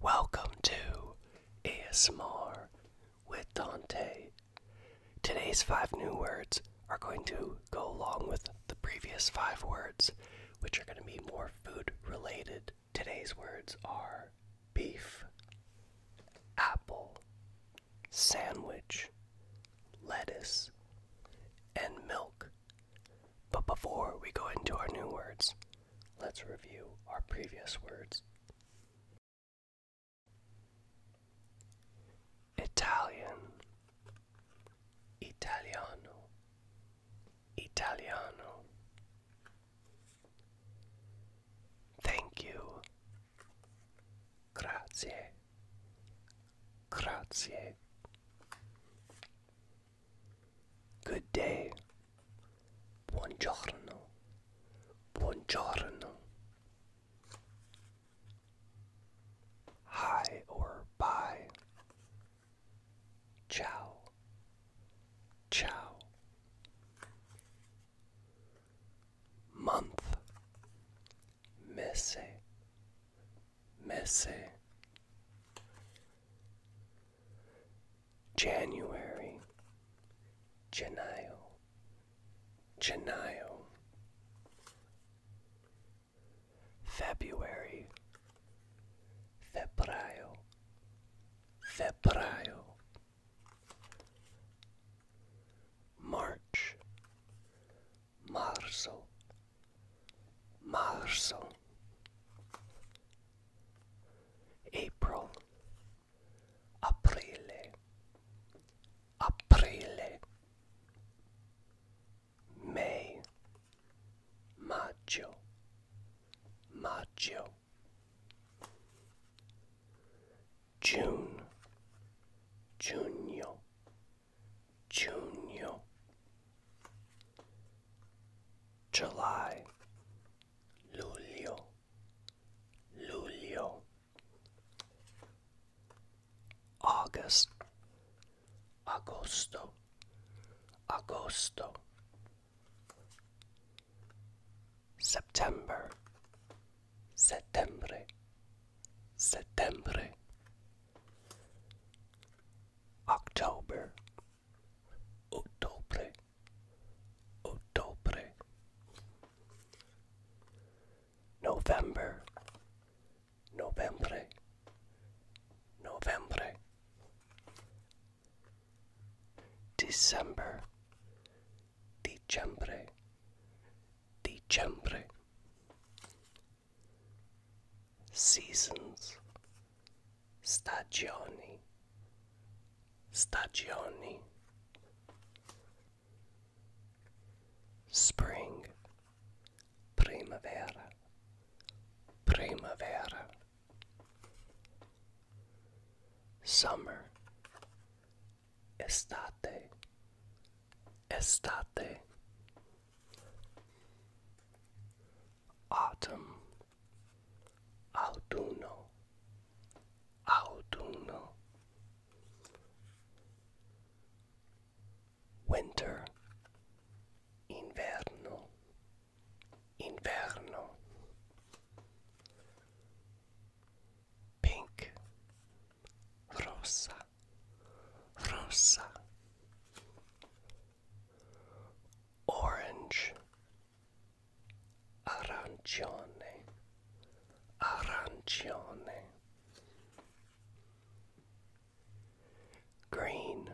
Welcome to ASMR with Dante. Today's five new words are going to go along with the previous five words, which are going to be more food related. Today's words are beef, apple, sandwich, lettuce, and milk. But before we go into our new words, let's review our previous words. Italian, Italiano, Italiano. Thank you. Grazie. Grazie. Good day. Buongiorno. Buongiorno. Hi or bye. Ciao. Ciao. Month. Mese messy. January, Janayo, Janayo. February, Febraio, Febraio. March, Marsov. Marsov. April. Aprile. Aprile. May. Maggio. Maggio. June, Junio, Junio, July, Lulio, Lulio, August, Agosto, Agosto, September, Settembre. September, October, October, October, November, November, November, December, December, dicembre. Seasons, stagioni, stagioni. Spring, primavera, primavera. Summer, Estate. Estate. Autumn. Autunno. Autunno. Winter. Inverno. Inverno pink, rosa, rosa, orange, arancione, arancione, green,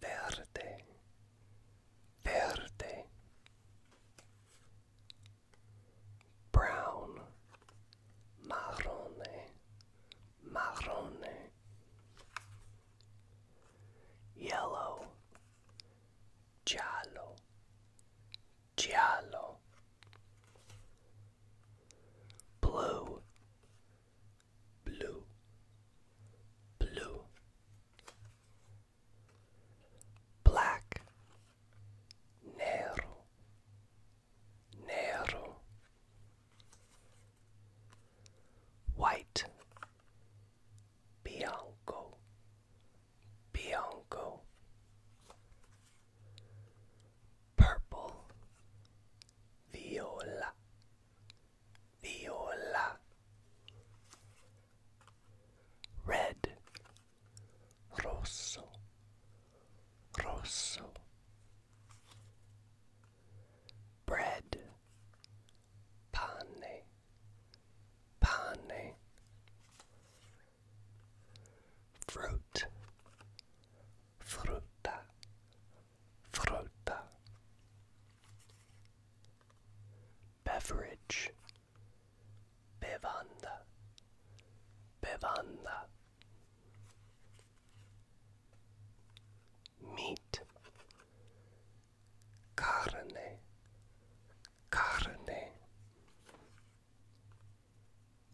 verde, verde brown, marrone, marrone, yellow, giallo, giallo, blue, blue, blue black, negro, negro, white, bianco, bianco, purple, viola, viola red, rosso, rosso, bread, pane, pane, fruit, frutta, frutta beverage bevanda bevanda meat carne carne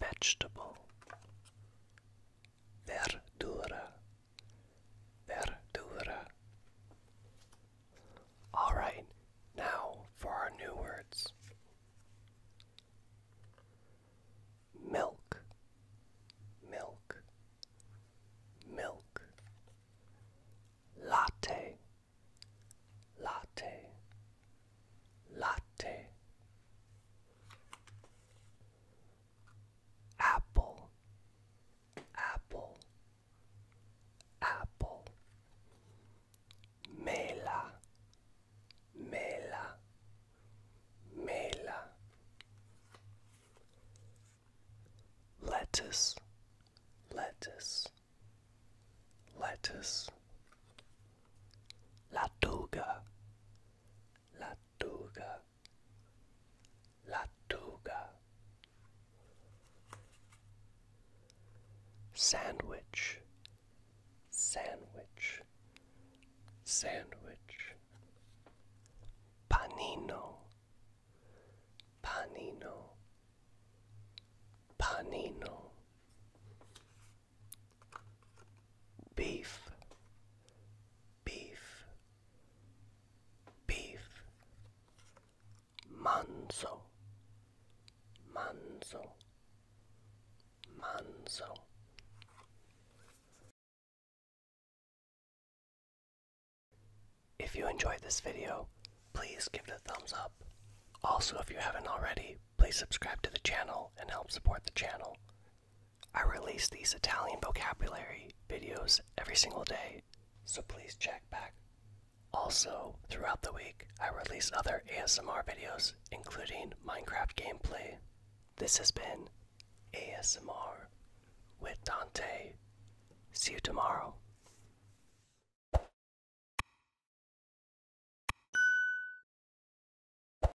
vegetable verdura Verdura. Alright, now for our new words milk, milk, milk, latte, latte, latte, apple apple, apple. Mela, mela, mela. Lettuce, lettuce, lettuce. Latuga, latuga, Latuga Sandwich Sandwich Sandwich Panino Panino Panino Beef beef, beef, manzo, manzo, manzo. If you enjoyed this video, please give it a thumbs up. Also, if you haven't already, please subscribe to the channel and help support the channel. I release these Italian vocabulary videos every single day, so please check back. Also, throughout the week, I release other ASMR videos, including Minecraft gameplay. This has been ASMR with Dante. See you tomorrow.